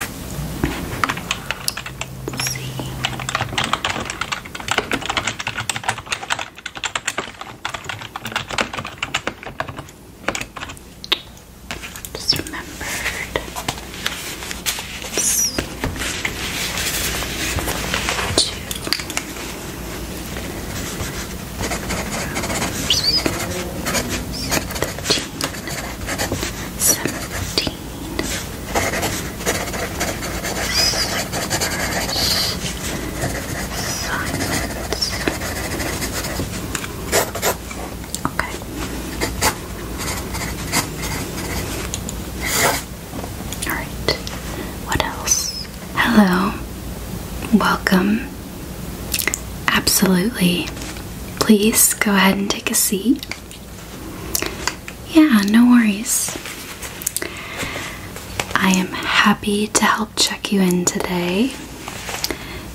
We'll see. Just remembered. two rooms, seventeen. Assignments. Okay. Alright. What else? Hello. Welcome. Absolutely. Please go ahead and take a seat. Yeah, no worries. I am happy to help check you in today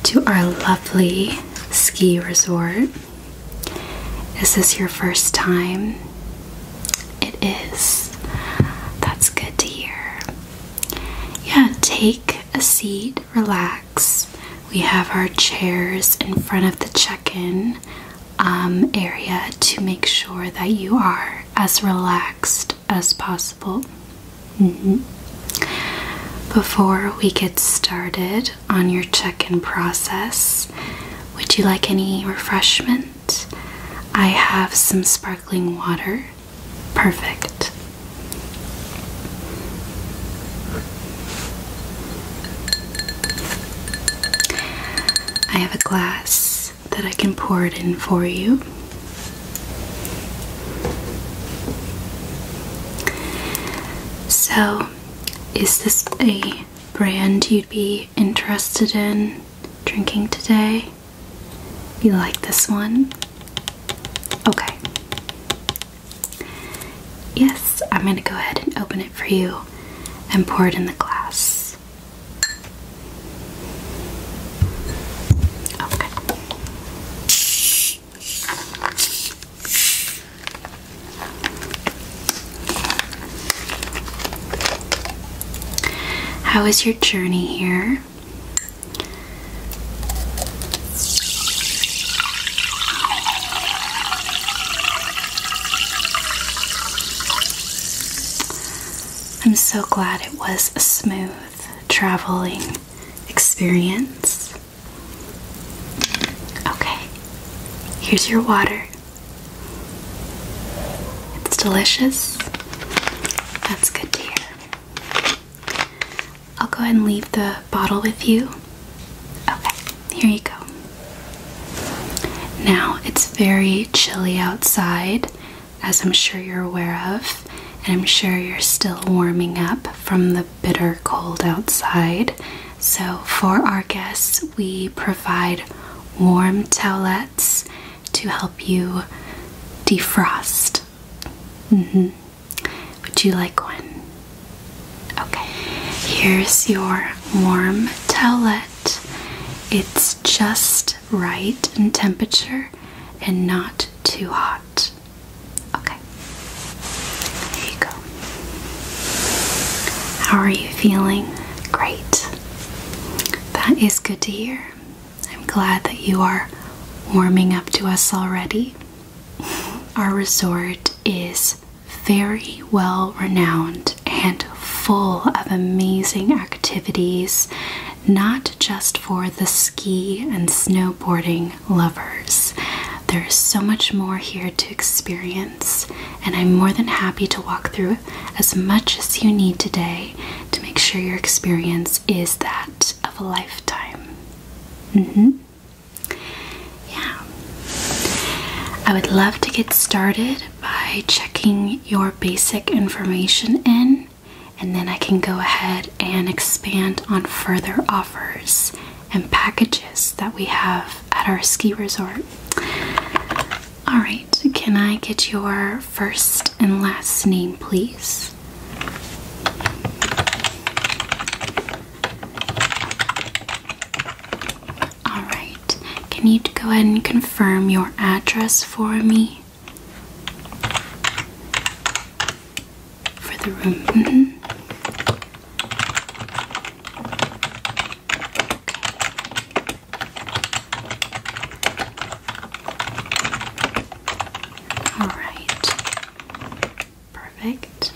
to our lovely ski resort. Is this your first time? It is. That's good to hear. Yeah, take a seat relax. We have our chairs in front of the check in um, area to make sure that you are as relaxed as possible. Mm-hmm. Before we get started on your check in process, would you like any refreshment? I have some sparkling water. Perfect. I have a glass that I can pour it in for you. So, is this a brand you'd be interested in drinking today? You like this one? Okay. Yes, I'm going to go ahead and open it for you and pour it in the glass. Okay. How is your journey here? I'm so glad it was a smooth traveling experience. Okay, here's your water. It's delicious. That's good to hear. I'll go ahead and leave the bottle with you. Okay, here you go. Now, it's very chilly outside, as I'm sure you're aware of, and I'm sure you're still warming up from the bitter cold outside. So, for our guests, we provide warm towelettes to help you defrost hmm. Would you like one? Okay. Here's your warm towelette. It's just right in temperature and not too hot. Okay. There you go. How are you feeling? Great. That is good to hear. I'm glad that you are warming up to us already. Our resort is very well renowned and full of amazing activities, not just for the ski and snowboarding lovers. There's so much more here to experience, and I'm more than happy to walk through as much as you need today to make sure your experience is that of a lifetime. Mm -hmm. Yeah. I would love to get started by checking your basic information in, and then I can go ahead and expand on further offers and packages that we have at our ski resort. All right, can I get your first and last name, please? All right. Can you go ahead and confirm your address for me? For the room. Mm-hmm. All right. Perfect.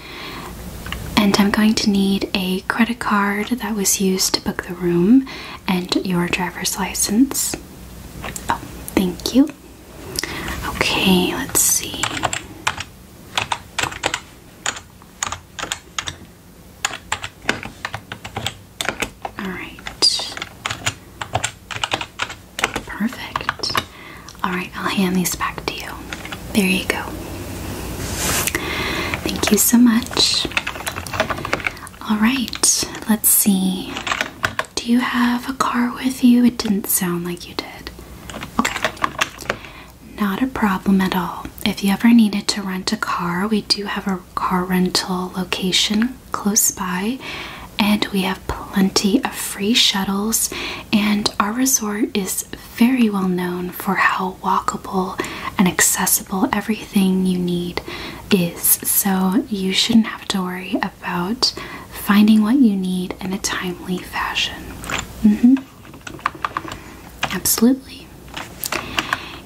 And I'm going to need a credit card that was used to book the room and your driver's license. Oh, thank you. Okay, let's see. All right. Perfect. All right, I'll hand these back to you. There you go. Thank you so much. All right, let's see. Do you have a car with you? It didn't sound like you did. Okay. Not a problem at all. If you ever needed to rent a car, we do have a car rental location close by, and we have plenty of free shuttles and our resort is very well known for how walkable and accessible everything you need is. So you shouldn't have to worry about finding what you need in a timely fashion. Mm hmm Absolutely.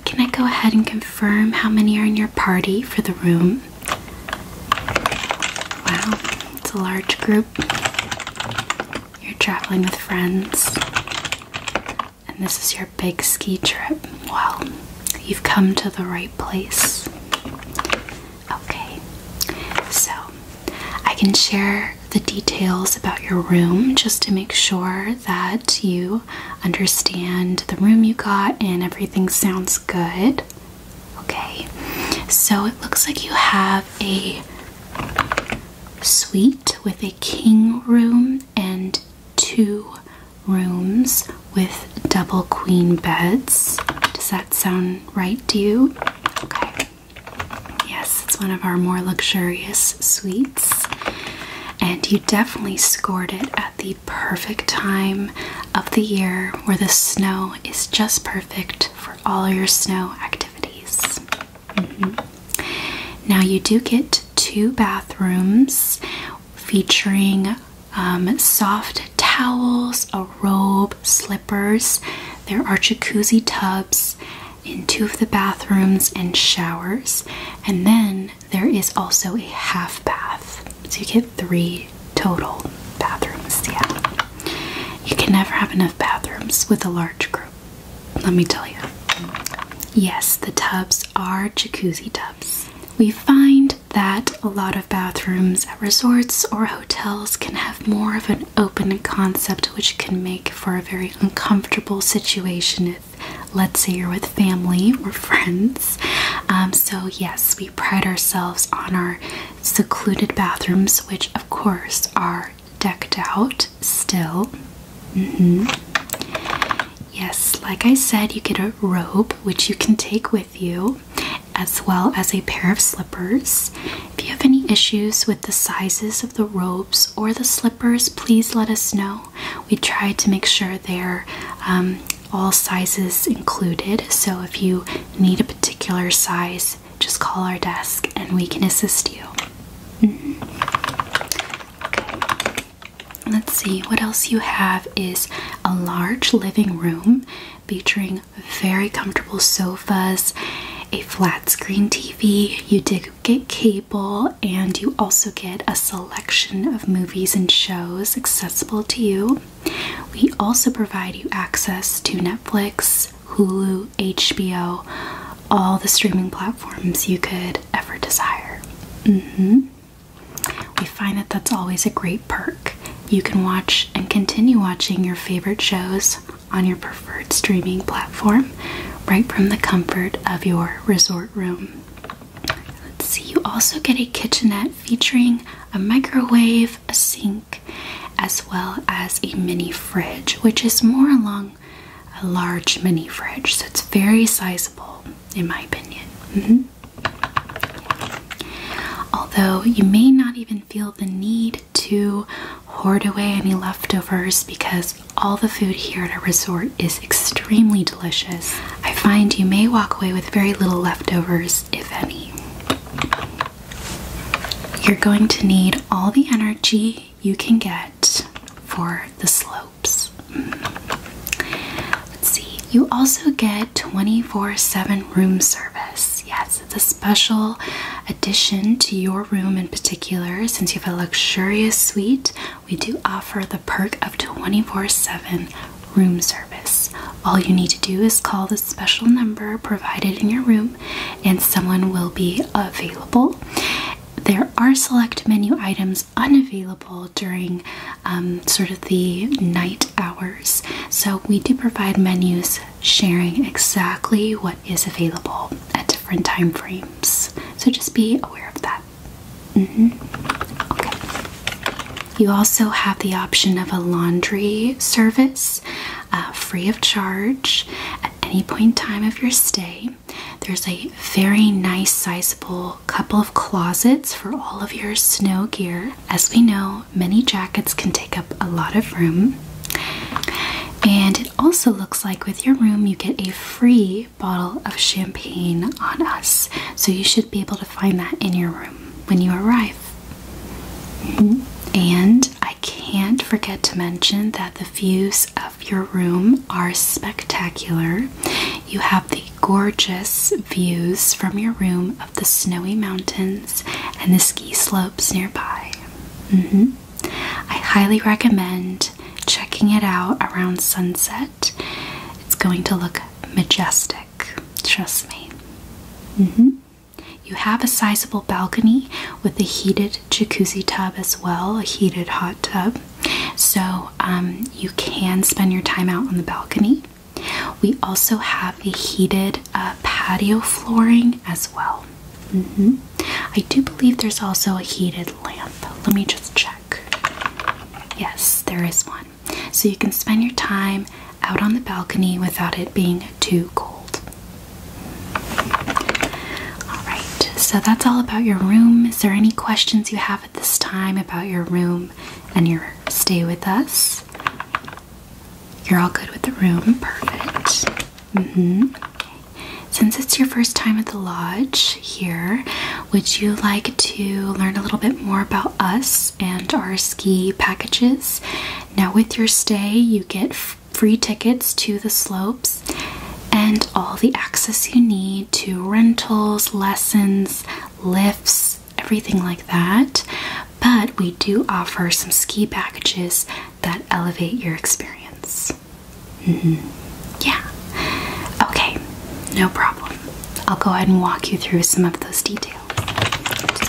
Can I go ahead and confirm how many are in your party for the room? Wow, it's a large group. You're traveling with friends, and this is your big ski trip. Well, you've come to the right place. Okay, so I can share the details about your room just to make sure that you understand the room you got and everything sounds good. Okay, so it looks like you have a suite with a king room and two rooms with double queen beds. Does that sound right to you? Okay. Yes, it's one of our more luxurious suites. And you definitely scored it at the perfect time of the year where the snow is just perfect for all your snow activities. Mm-hmm. Now, you do get two bathrooms featuring um, soft towels, a robe, slippers. There are jacuzzi tubs in two of the bathrooms and showers, and then there is also a half bath. So you get three total bathrooms. Yeah. You can never have enough bathrooms with a large group. Let me tell you. Yes, the tubs are jacuzzi tubs. We find that a lot of bathrooms at resorts or hotels can have more of an open concept, which can make for a very uncomfortable situation if, let's say, you're with family or friends. Um, so, yes, we pride ourselves on our secluded bathrooms, which of course are decked out still. Mm-hmm. Yes, like I said, you get a robe which you can take with you, as well as a pair of slippers. If you have any issues with the sizes of the robes or the slippers, please let us know. We try to make sure they're um, all sizes included. So if you need a particular size, just call our desk and we can assist you. Mm-hmm. Let's see, what else you have is a large living room featuring very comfortable sofas, a flat screen TV. You did get cable, and you also get a selection of movies and shows accessible to you. We also provide you access to Netflix, Hulu, HBO, all the streaming platforms you could ever desire. Mm-hmm. We find that that's always a great perk. You can watch and continue watching your favorite shows on your preferred streaming platform right from the comfort of your resort room. Let's see, you also get a kitchenette featuring a microwave, a sink, as well as a mini fridge, which is more along a large mini fridge. So it's very sizable, in my opinion. Mm-hmm. Although you may not even feel the need to hoard away any leftovers because all the food here at our resort is extremely delicious. I find you may walk away with very little leftovers if any. You're going to need all the energy you can get for the slopes. Mm. Let's see, you also get 24 7 room service. Yes, it's a special addition to your room in particular. Since you have a luxurious suite, we do offer the perk of 24 7 room service. All you need to do is call the special number provided in your room, and someone will be available. There are select menu items unavailable during um, sort of the night hours, so we do provide menus sharing exactly what is available at different time frames. So just be aware of that. Mm-hmm. You also have the option of a laundry service uh, free of charge at any point in time of your stay. There's a very nice, sizable couple of closets for all of your snow gear. As we know, many jackets can take up a lot of room. And it also looks like with your room, you get a free bottle of champagne on us. So you should be able to find that in your room when you arrive. And I can't forget to mention that the views of your room are spectacular. You have the gorgeous views from your room of the snowy mountains and the ski slopes nearby. Mm-hmm. I highly recommend checking it out around sunset. It's going to look majestic. Trust me. Mm-hmm. You have a sizable balcony with a heated jacuzzi tub as well, a heated hot tub. So um, you can spend your time out on the balcony. We also have a heated uh, patio flooring as well. Mm-hmm. I do believe there's also a heated lamp. Let me just check. Yes, there is one so you can spend your time out on the balcony without it being too cold. Alright, so that's all about your room. Is there any questions you have at this time about your room and your stay with us? You're all good with the room. Perfect. Mm-hmm. Since it's your first time at the lodge here, would you like to learn a little bit more about us and our ski packages. Now, with your stay, you get free tickets to the slopes and all the access you need to rentals, lessons, lifts, everything like that. But we do offer some ski packages that elevate your experience. Mm-hmm. Yeah. Okay, no problem. I'll go ahead and walk you through some of those details you.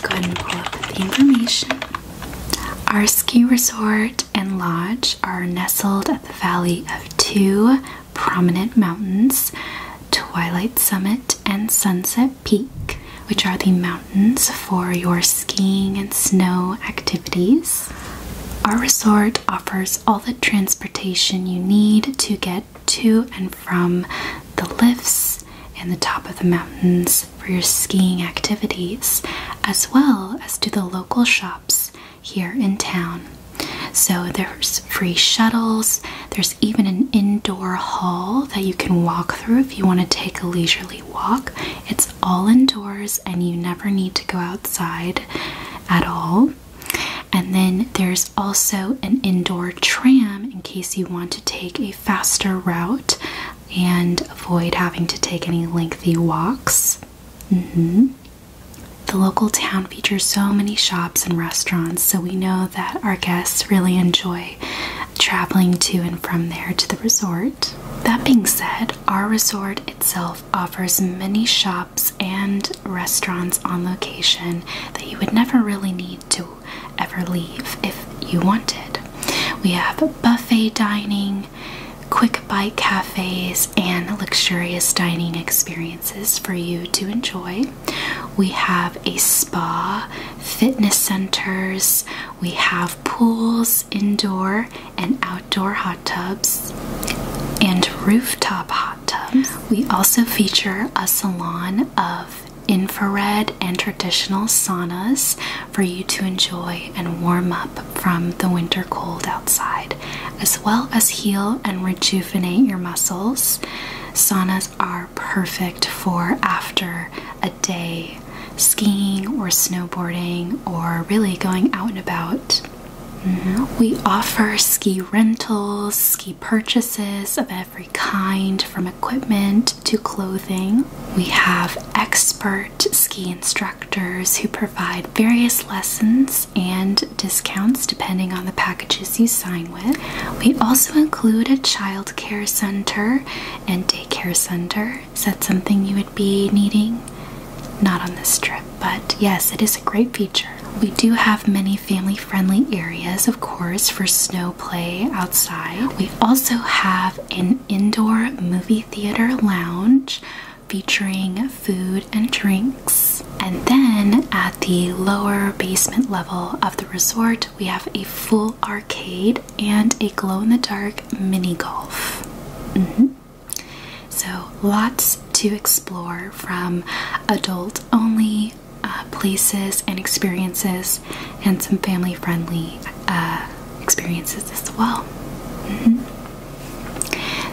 go ahead and pull up the information. Our ski resort and lodge are nestled at the valley of two prominent mountains, Twilight Summit and Sunset Peak, which are the mountains for your skiing and snow activities. Our resort offers all the transportation you need to get to and from the lifts and the top of the mountains for your skiing activities, as well as to the local shops here in town. So there's free shuttles, there's even an indoor hall that you can walk through if you want to take a leisurely walk. It's all indoors and you never need to go outside at all. And then there's also an indoor tram in case you want to take a faster route and avoid having to take any lengthy walks. Mm-hmm. The local town features so many shops and restaurants, so we know that our guests really enjoy traveling to and from there to the resort. That being said, our resort itself offers many shops and restaurants on location that you would never really need to ever leave if you wanted. We have buffet dining, quick bite cafes, and luxurious dining experiences for you to enjoy. We have a spa, fitness centers, we have pools, indoor and outdoor hot tubs, and rooftop hot tubs. We also feature a salon of infrared and traditional saunas for you to enjoy and warm up from the winter cold outside, as well as heal and rejuvenate your muscles. Saunas are perfect for after a day skiing or snowboarding or really going out and about. Mm-hmm. We offer ski rentals, ski purchases of every kind, from equipment to clothing. We have expert ski instructors who provide various lessons and discounts depending on the packages you sign with. We also include a child care center and daycare center. Is that something you would be needing? Not on this trip, but yes, it is a great feature. We do have many family friendly areas, of course, for snow play outside. We also have an indoor movie theater lounge featuring food and drinks. And then at the lower basement level of the resort, we have a full arcade and a glow in the dark mini golf. Mm-hmm. So, lots to explore from adult only uh, places and experiences, and some family friendly uh, experiences as well. Mm-hmm.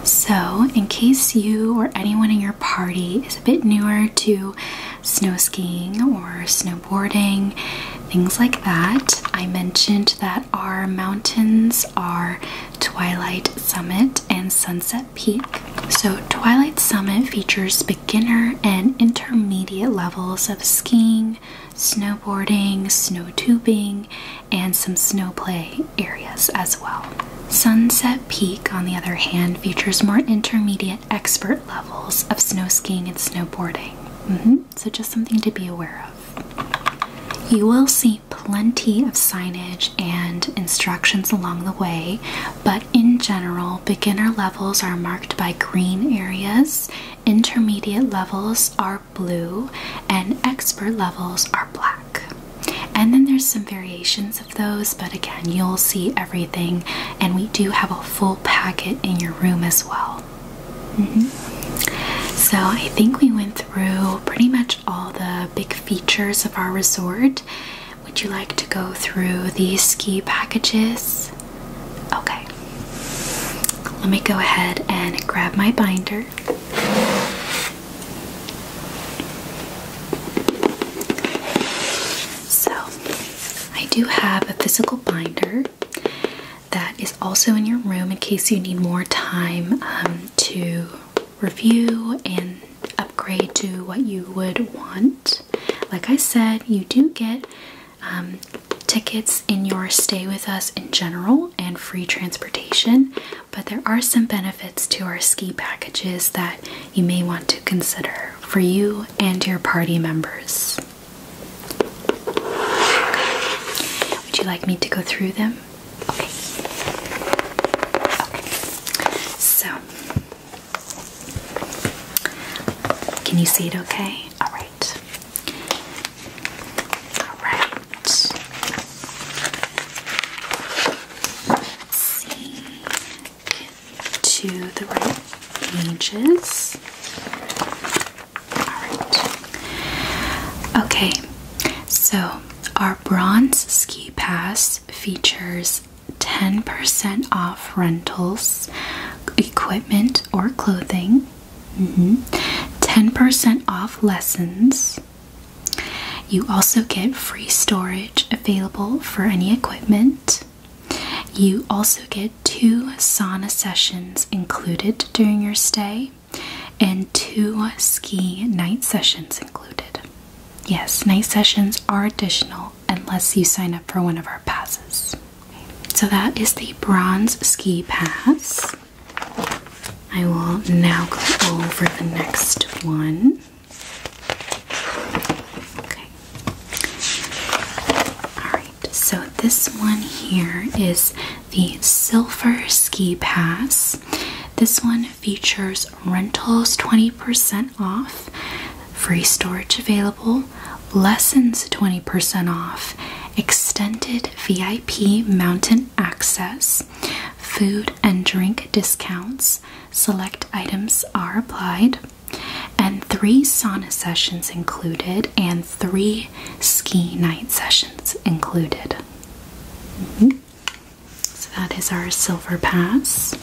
So, in case you or anyone in your party is a bit newer to snow skiing or snowboarding, things like that, I mentioned that our mountains are Twilight Summit and Sunset Peak. So, Twilight Summit features beginner and intermediate levels of skiing, snowboarding, snow tubing, and some snow play areas as well. Sunset Peak, on the other hand, features more intermediate expert levels of snow skiing and snowboarding. Mm-hmm. So, just something to be aware of. You will see plenty of signage and instructions along the way, but in general, beginner levels are marked by green areas, intermediate levels are blue, and expert levels are black. And then there's some variations of those, but again, you'll see everything, and we do have a full packet in your room as well. Mm-hmm. So I think we went through pretty much all the big features of our resort. Would you like to go through these ski packages? Okay. Let me go ahead and grab my binder. So, I do have a physical binder that is also in your room in case you need more time um, to review and upgrade to what you would want. Like I said, you do get um, tickets in your stay with us in general and free transportation, but there are some benefits to our ski packages that you may want to consider for you and your party members. Would you like me to go through them? Okay. Okay. So, can you see it okay? All right. to the right pages. All right. Okay. So, our bronze ski pass features 10% off rentals, equipment, or clothing, 10% mm-hmm. off lessons. You also get free storage available for any equipment. You also get two sauna sessions included during your stay and two ski night sessions included. Yes, night sessions are additional unless you sign up for one of our passes. So that is the bronze ski pass. I will now go over the next one. Okay. Alright, so this one here is the silver ski pass. This one features rentals 20% off, free storage available, lessons 20% off, extended VIP mountain access, food and drink discounts, select items are applied, and three sauna sessions included, and three ski night sessions included. Mm-hmm. So that is our silver pass.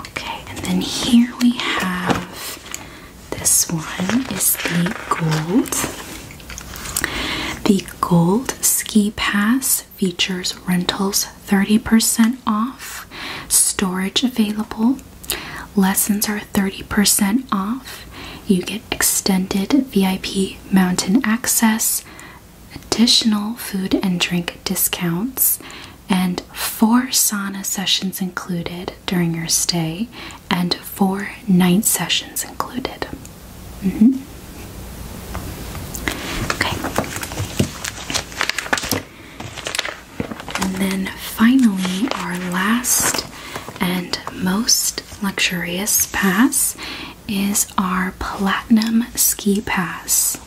Okay, and then here we have this one is the gold. The gold ski pass features rentals 30% off, storage available, lessons are 30% off. You get extended VIP mountain access, additional food and drink discounts, and four sauna sessions included during your stay, and four night sessions included. Mm-hmm. Okay. And then finally, our last and most luxurious pass is our Platinum Ski Pass.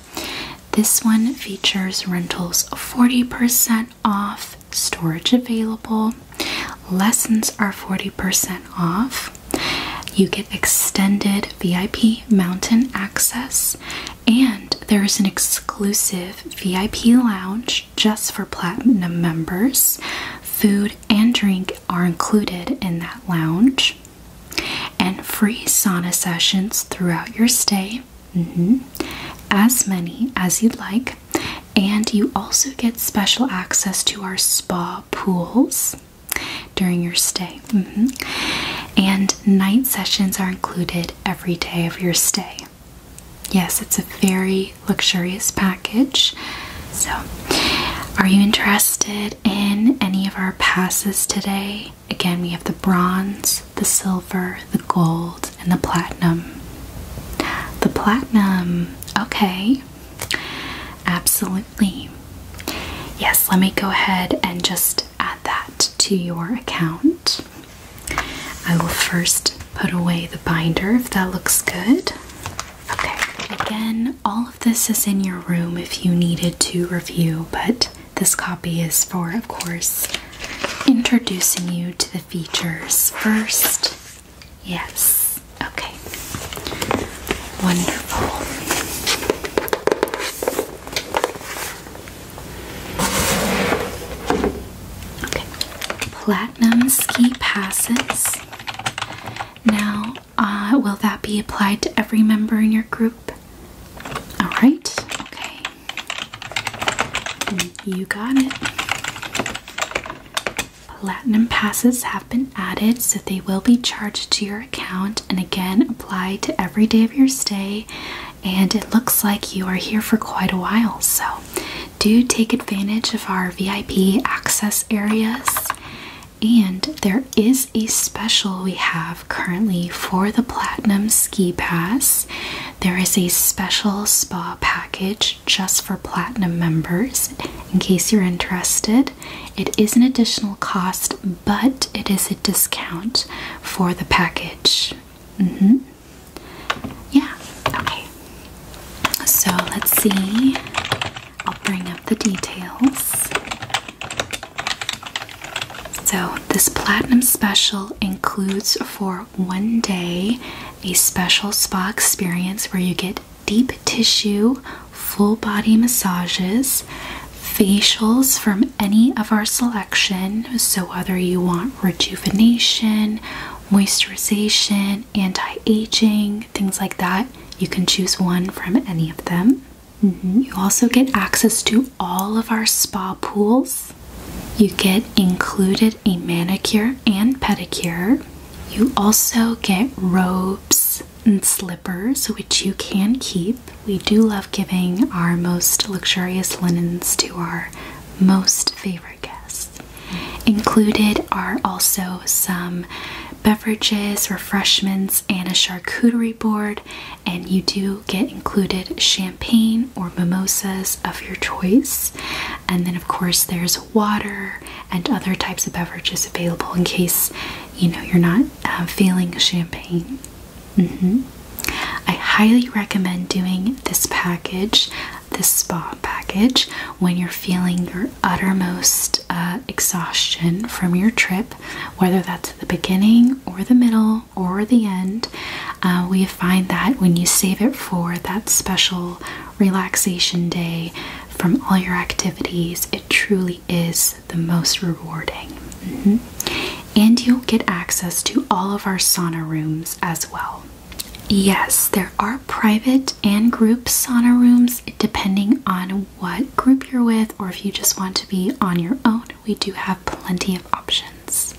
This one features rentals 40% off, storage available, lessons are 40% off. You get extended VIP mountain access, and there is an exclusive VIP lounge just for Platinum members, food and drink are included in that lounge, and free sauna sessions throughout your stay, mm-hmm. as many as you'd like. And you also get special access to our spa pools during your stay. Mm-hmm. And night sessions are included every day of your stay. Yes, it's a very luxurious package. So, are you interested? in any of our passes today. Again, we have the bronze, the silver, the gold, and the platinum. The platinum, okay, absolutely. Yes, let me go ahead and just add that to your account. I will first put away the binder if that looks good. Okay, again, all this is in your room if you needed to review, but this copy is for, of course, introducing you to the features first. Yes. Okay. Wonderful. Okay. Platinum ski passes. Now, uh, will that be applied to every member in your group? All right, okay. You got it. Platinum passes have been added, so they will be charged to your account and again applied to every day of your stay. And it looks like you are here for quite a while, so do take advantage of our VIP access areas and there is a special we have currently for the Platinum Ski Pass. There is a special spa package just for Platinum members in case you're interested. It is an additional cost, but it is a discount for the package. Mm-hmm. Yeah, okay. So let's see. I'll bring up the details. So, this platinum special includes for one day a special spa experience where you get deep tissue, full body massages, facials from any of our selection. So, whether you want rejuvenation, moisturization, anti-aging, things like that. You can choose one from any of them. Mm-hmm. You also get access to all of our spa pools. You get included a manicure and pedicure. You also get robes and slippers, which you can keep. We do love giving our most luxurious linens to our most favorite guests. Included are also some beverages, refreshments, and a charcuterie board. And you do get included champagne or mimosas of your choice. And then, of course, there's water and other types of beverages available in case you know you're not uh, feeling champagne. Mm-hmm. I highly recommend doing this package, this spa package, when you're feeling your uttermost uh, exhaustion from your trip, whether that's the beginning or the middle or the end. Uh, we find that when you save it for that special relaxation day from all your activities, it truly is the most rewarding. Mm-hmm. And you'll get access to all of our sauna rooms as well. Yes, there are private and group sauna rooms depending on what group you're with or if you just want to be on your own. We do have plenty of options.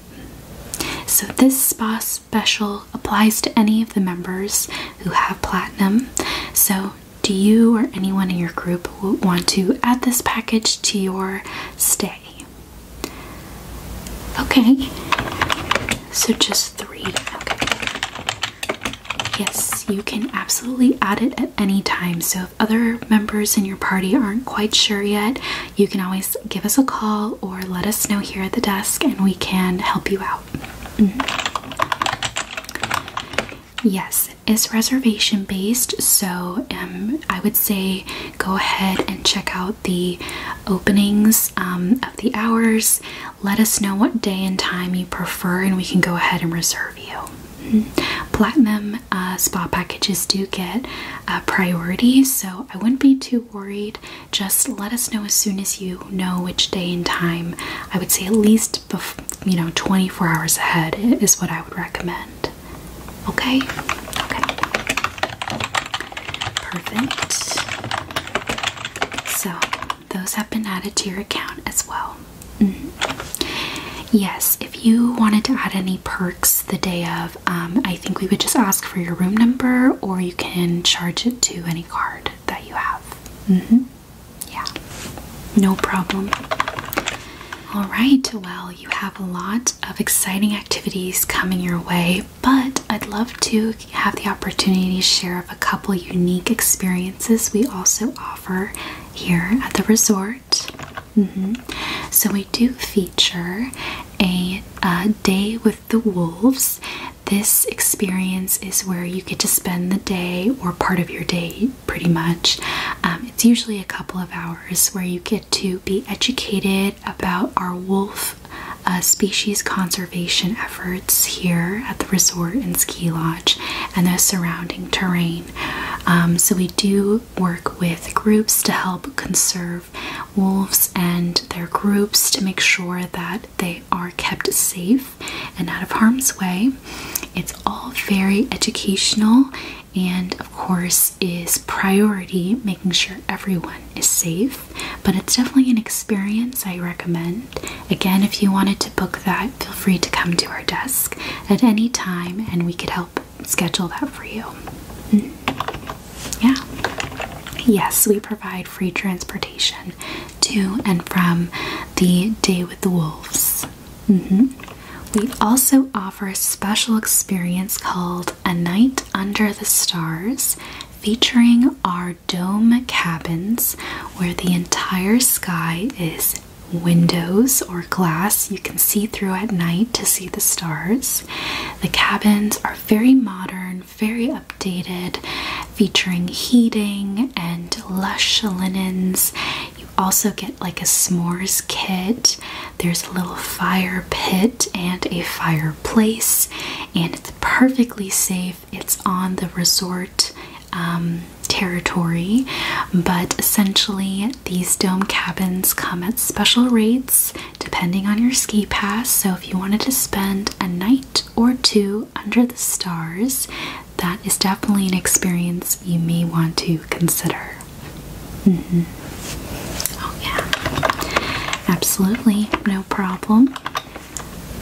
So, this spa special applies to any of the members who have platinum. So, do you or anyone in your group want to add this package to your stay? Okay, so just three. Yes, you can absolutely add it at any time. So if other members in your party aren't quite sure yet, you can always give us a call or let us know here at the desk and we can help you out. Mm-hmm. Yes, it's reservation based, so um, I would say go ahead and check out the openings um, of the hours let us know what day and time you prefer, and we can go ahead and reserve you. Mm Platinum uh, spa packages do get uh, priority, so I wouldn't be too worried. Just let us know as soon as you know which day and time. I would say at least, you know, 24 hours ahead is what I would recommend. Okay. Okay. Perfect. So those have been added to your account as well. Mm-hmm. Yes, if you wanted to add any perks the day of, um, I think we would just ask for your room number or you can charge it to any card that you have. Mm -hmm. Yeah, no problem. All right, well, you have a lot of exciting activities coming your way, but I'd love to have the opportunity to share of a couple unique experiences we also offer here at the resort. Mm-hmm. So we do feature a, day with the wolves. This experience is where you get to spend the day or part of your day, pretty much. Um, it's usually a couple of hours where you get to be educated about our wolf uh, species conservation efforts here at the resort and ski lodge and the surrounding terrain. Um, so, we do work with groups to help conserve wolves and their groups to make sure that they are kept safe and out of harm's way. It's all very educational and, of course, is priority making sure everyone is safe. But it's definitely an experience I recommend Again, if you wanted to book that, feel free to come to our desk at any time and we could help schedule that for you. Hmm? Yeah. Yes, we provide free transportation to and from the Day with the Wolves. Mm-hmm. We also offer a special experience called A Night Under the Stars featuring our dome cabins where the entire sky is windows or glass you can see through at night to see the stars. The cabins are very modern, very updated, featuring heating and lush linens. You also get like a s'mores kit. There's a little fire pit and a fireplace, and it's perfectly safe it's on the resort um, territory, but essentially these dome cabins come at special rates depending on your ski pass. So if you wanted to spend a night or two under the stars, that is definitely an experience you may want to consider. Mm-hmm. Oh, yeah, absolutely, no problem.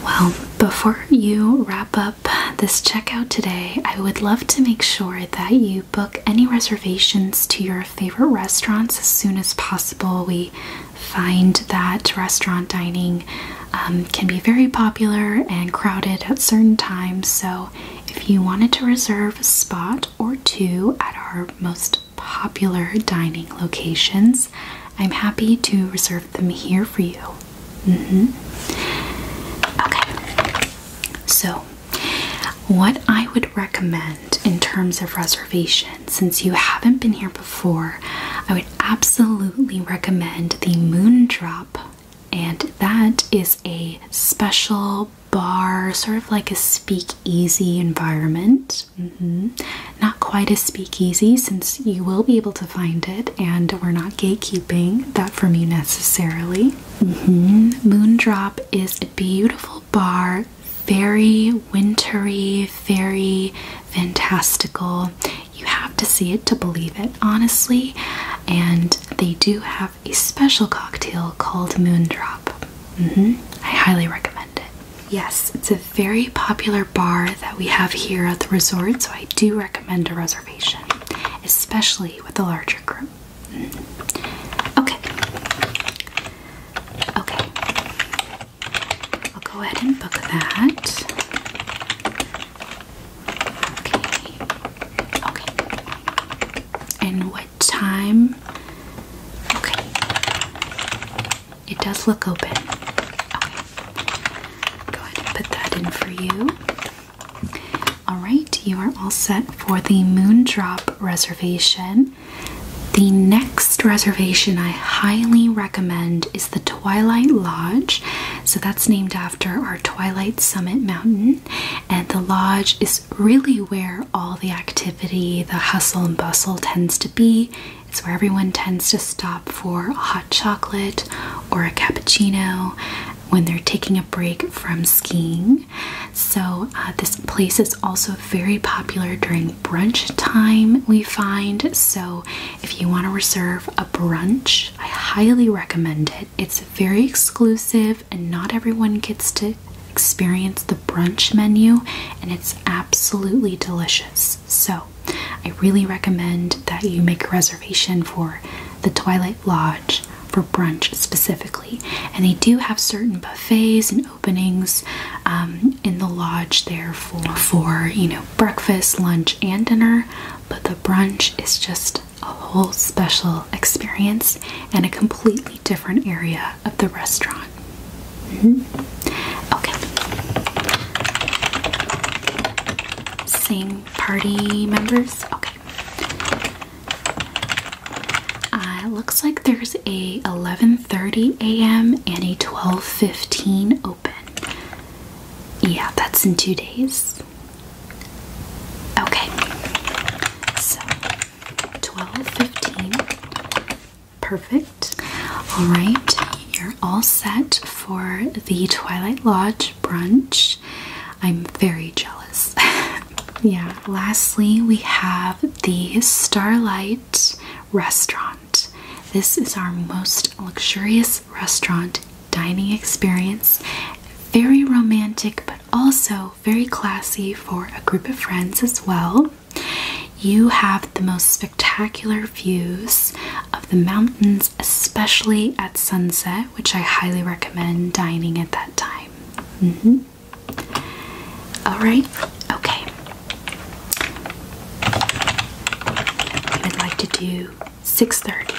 Well, before you wrap up this checkout today, I would love to make sure that you book any reservations to your favorite restaurants as soon as possible. We find that restaurant dining um, can be very popular and crowded at certain times, so if you wanted to reserve a spot or two at our most popular dining locations, I'm happy to reserve them here for you. Mm-hmm. Okay, so what I would recommend in terms of reservation, since you haven't been here before, I would absolutely recommend the Moon Drop, and that is a special bar, sort of like a speakeasy environment. Mm-hmm. Not quite as speakeasy, since you will be able to find it, and we're not gatekeeping that from you necessarily. Mm -hmm. Moondrop is a beautiful bar, very wintry, very fantastical. You have to see it to believe it, honestly. And they do have a special cocktail called Moondrop. Mm I highly recommend it. Yes, it's a very popular bar that we have here at the resort, so I do recommend a reservation, especially with a larger group. Okay. Okay. I'll go ahead and book that. Okay. Okay. And what time? Okay. It does look open. Okay. Go ahead and put that in for you. Alright, you are all set for the Moondrop reservation. The next reservation I highly recommend is the Twilight Lodge. So that's named after our Twilight Summit Mountain. And the lodge is really where all the activity, the hustle and bustle tends to be. It's where everyone tends to stop for hot chocolate or a cappuccino when they're taking a break from skiing. So, uh, this place is also very popular during brunch time, we find. So, if you want to reserve a brunch, I highly recommend it. It's very exclusive, and not everyone gets to experience the brunch menu, and it's absolutely delicious. So, I really recommend that you make a reservation for the Twilight Lodge for brunch specifically. And they do have certain buffets and openings um, in the lodge there for, for, you know, breakfast, lunch, and dinner. But the brunch is just a whole special experience and a completely different area of the restaurant. -hmm. Okay. Same party members? Okay. Uh, looks like there's a 11:30 a.m. and a 12:15 open. Yeah, that's in two days. Okay. So 12:15 Perfect. All right, you're all set for the Twilight Lodge brunch. I'm very jealous. yeah. Lastly, we have the Starlight Restaurant. This is our most luxurious restaurant dining experience. Very romantic, but also very classy for a group of friends as well. You have the most spectacular views of the mountains, especially at sunset, which I highly recommend dining at that time. Mm-hmm. All right, okay. I would like to do 6:30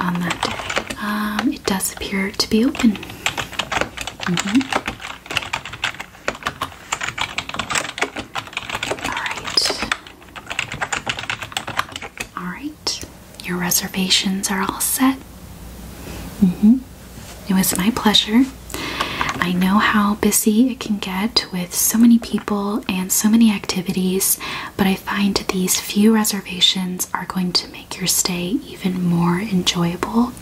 on that day. Um, it does appear to be open. Mm-hmm. Alright. Alright. Your reservations are all set. Mm-hmm. It was my pleasure. I know how busy it can get with so many people and so many activities, but I find these few reservations are going to make your stay even more enjoyable.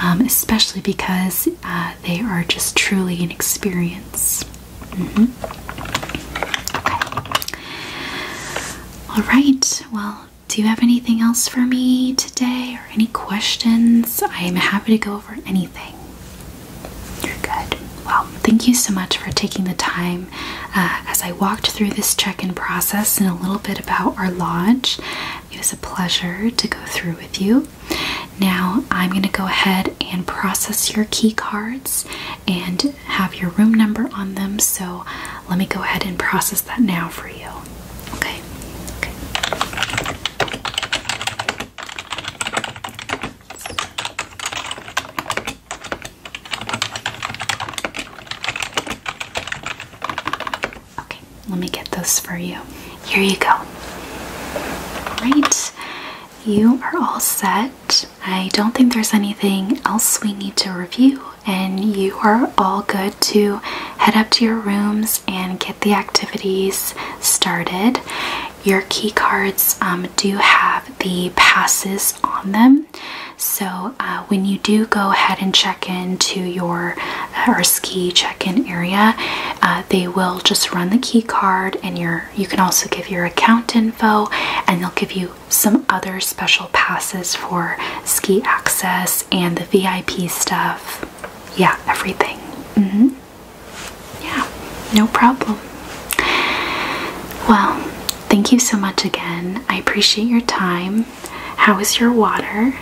Um, especially because uh, they are just truly an experience. Mm-hmm. All right. Well, do you have anything else for me today or any questions? I am happy to go over anything. You're good. Well, thank you so much for taking the time uh, as I walked through this check in process and a little bit about our lodge. It was a pleasure to go through with you. Now I'm going to go ahead and process your key cards and have your room number on them. So let me go ahead and process that now for you. Okay. Okay, let me get those for you. Here you go. Right, you are all set. I don't think there's anything else we need to review, and you are all good to head up to your rooms and get the activities started. Your key cards um, do have the passes on them, so uh, when you do go ahead and check into your our ski check-in area uh, they will just run the key card and your you can also give your account info and they'll give you some other special passes for ski access and the vip stuff yeah everything mm-hmm. yeah no problem well thank you so much again i appreciate your time how is your water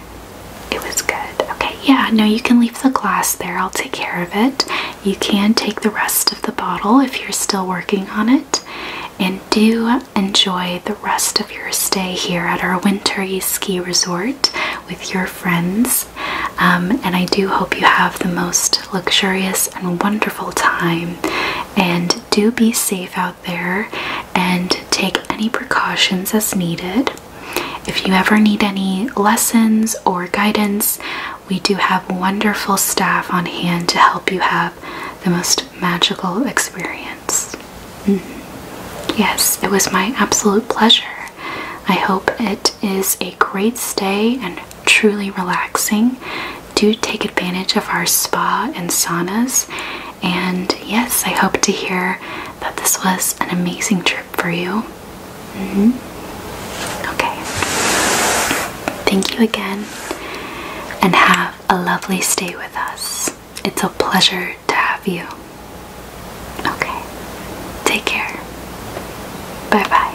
it was good. Okay, yeah, no, you can leave the glass there. I'll take care of it. You can take the rest of the bottle if you're still working on it. And do enjoy the rest of your stay here at our winter ski resort with your friends. Um, and I do hope you have the most luxurious and wonderful time. And do be safe out there and take any precautions as needed. If you ever need any lessons or guidance, we do have wonderful staff on hand to help you have the most magical experience. Mm-hmm. Yes, it was my absolute pleasure. I hope it is a great stay and truly relaxing. Do take advantage of our spa and saunas. And yes, I hope to hear that this was an amazing trip for you. Mm-hmm. Okay. Thank you again and have a lovely stay with us. It's a pleasure to have you. Okay. Take care. Bye bye.